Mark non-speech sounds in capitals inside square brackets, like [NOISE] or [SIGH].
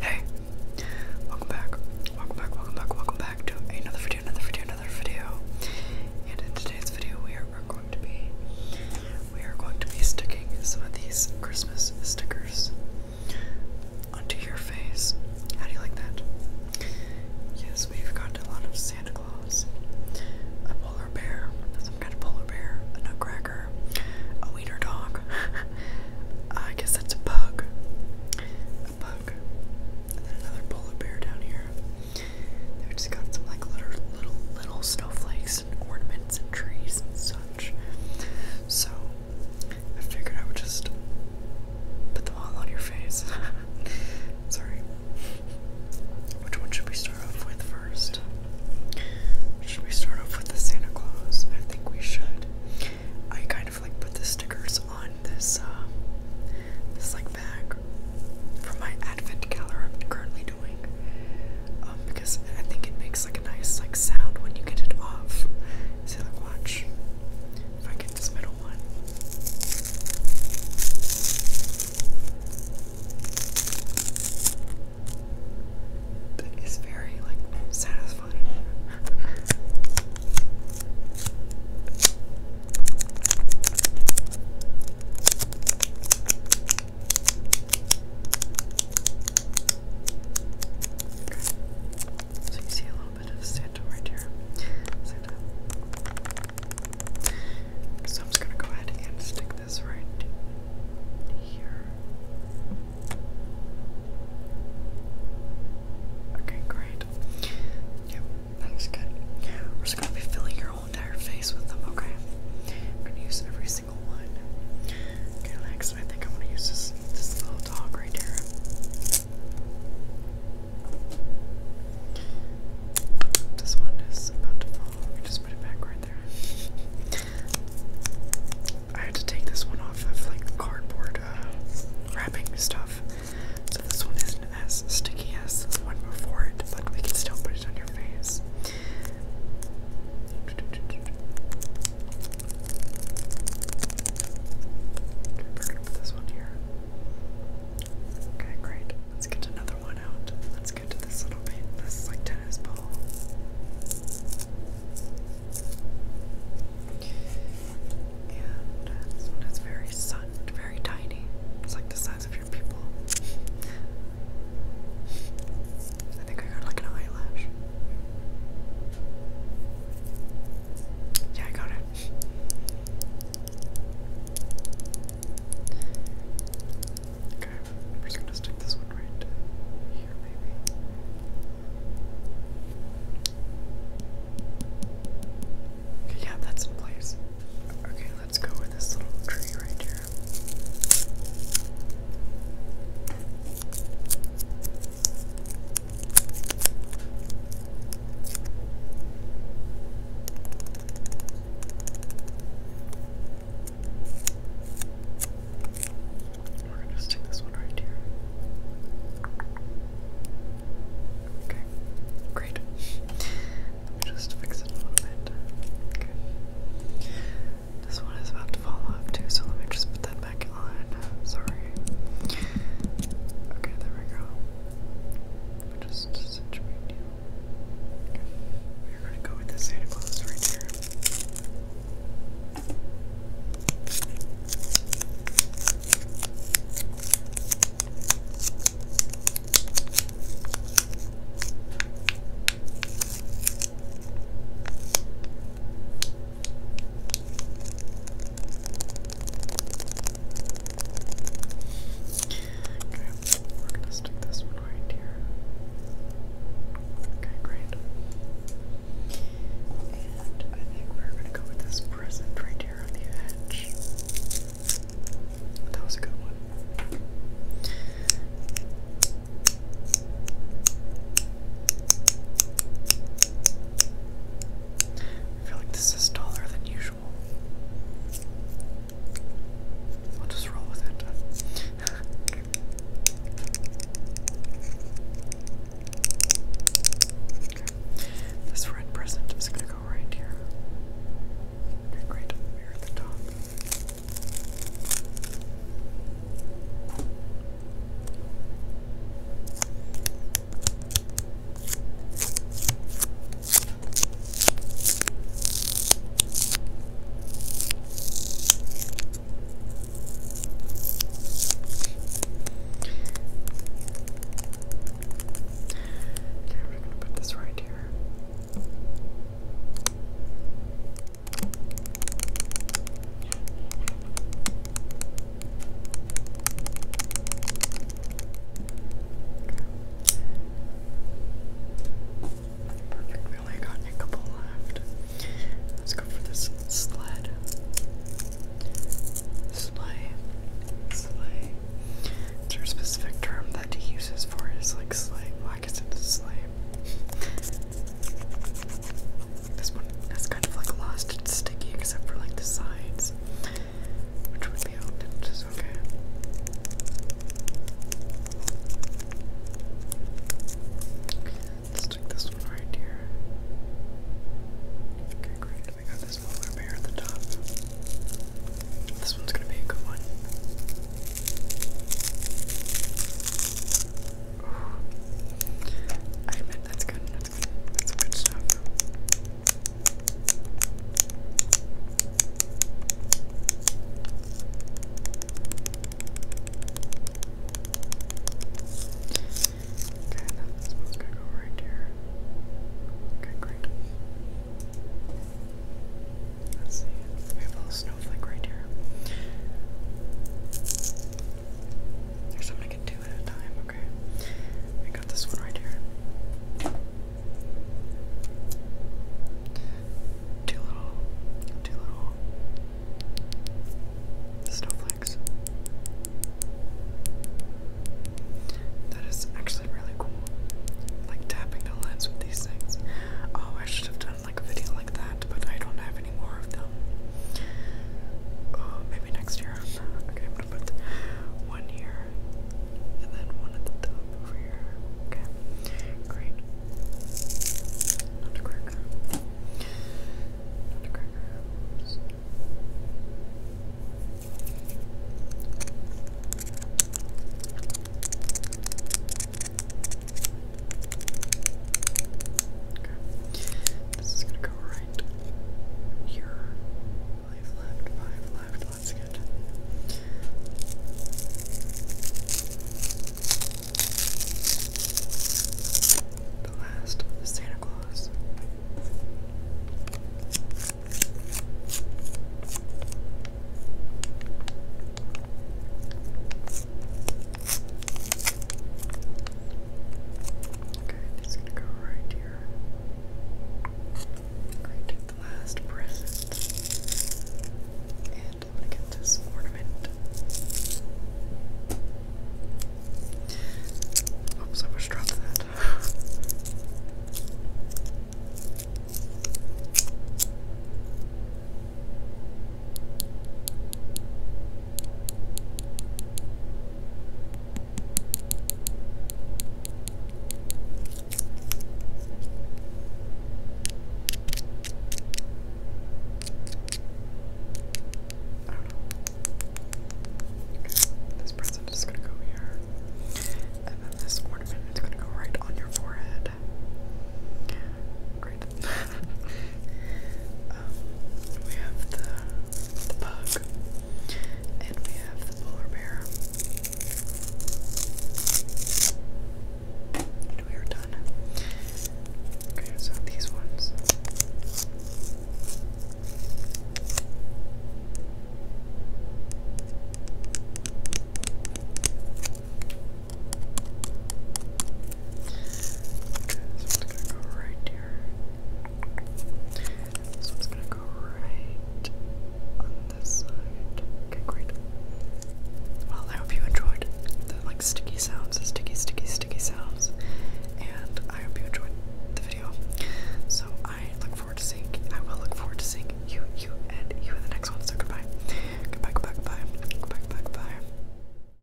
Hey, welcome back, welcome back, welcome back, welcome back to another video, another video, another video. And in today's video, we are, going to be we are going to be sticking some of these Christmas stickers onto your face. How do you like that? Yes, we've got a lot of Santa Claus, a polar bear, some kind of polar bear, a nutcracker, a wiener dog. [LAUGHS] I guess that's a bug. A bug. And then another polar bear down here. They've just got some like little little snowflakes and ornaments and trees and such. So I figured I would just put them all on your face. [LAUGHS] Sorry. Which one should we start off with first? Should we start off with the Santa Claus? I think we should. I kind of like put the stickers on this, uh, this like bag for my advent calendar I'm currently doing. Um, because I think it makes like a nice like sound when you get it off. So like watch if I get this middle one. But very like satisfying. So you see a little bit of Santa right here. Santa. So I'm just going to go ahead and stick this right here. Okay, great. Yep, that looks good. We're just going to be filling your whole entire face with them, okay? I'm going to use every single one. Okay, next I think I'm going to use this, this little dog right here. This one is about to fall. just put it back right there. I had to take this one off of like cardboard uh, wrapping stuff. So this one isn't as sticky as the one before it, but we can still put it on your face. put this one here. Okay, great. Let's get another one out. Let's go to this little bit. This is like tennis ball. And this one is very sunned, very tiny. It's like the size of your people. I think I got like an eyelash. Yeah, I got it. Okay, we're just gonna stick this one right here, maybe. Okay, yeah, that's in place. Okay, let's go with this little tree right here. We're gonna stick this one right here. Okay, great. just fix it a little bit. This one is about to fall off too, so let me just put that back on. Sorry. Okay, there we go just situate you. We're gonna go with the Santa Claus right here. Okay, we're gonna stick this right here. Okay, great. And I think we're gonna go with this present right here on the edge. That was a good one. I feel like this is taller than usual usual. I'll just roll with it. [LAUGHS] This red present is going to go right here. Okay, great. Here at the top. Okay, we're gonna put this right here. Perfect, we got a couple left. Let's go for this sled. Sleigh. Sleigh. Is there a specific term that he uses for it? It's like sleigh. Well, I guess it's sleigh. This one is kind of like lost and sticky except for like the sides. Which would be okay. Okay, this one right here. Okay, great. We got this one over here at the top. This one's gonna be a good one. I admit that's good. That's good stuff. Okay, now this to go right here. Okay, great. Let's see. We have a little snowflake right here. There's something I can do at a time. Okay, I got this one right here. Two little, two little snowflakes. That is actually really cool. Like tapping the lens with these things. Oh, I should have done like a video like that, but I don't have any more of them. Uh, maybe next year. okay, I'm gonna put one here and then one at the top over here. Okay, great. Not a cracker. Not a cracker. Okay. This is gonna go right here. Five left, five left. Let's The last Santa Claus. Okay, it's going go right here. Great, the last present. And get this ornament. Oops, I almost dropped that. I don't know. This present is gonna go here. And then this ornament is gonna go right on your forehead. Right [LAUGHS] Um, we have the, the bug, and we have the polar bear. And we are done. Okay, so these ones. Okay, this one's gonna go right here. This one's gonna go right on this side. Okay, great. Well, I hope you enjoyed the like sticky sounds, the sticky, sticky, sticky sounds, and I hope you enjoyed the video. So I look forward to seeing. I will look forward to seeing you, you, and you in the next one. So goodbye, goodbye, goodbye, goodbye, goodbye, goodbye. goodbye.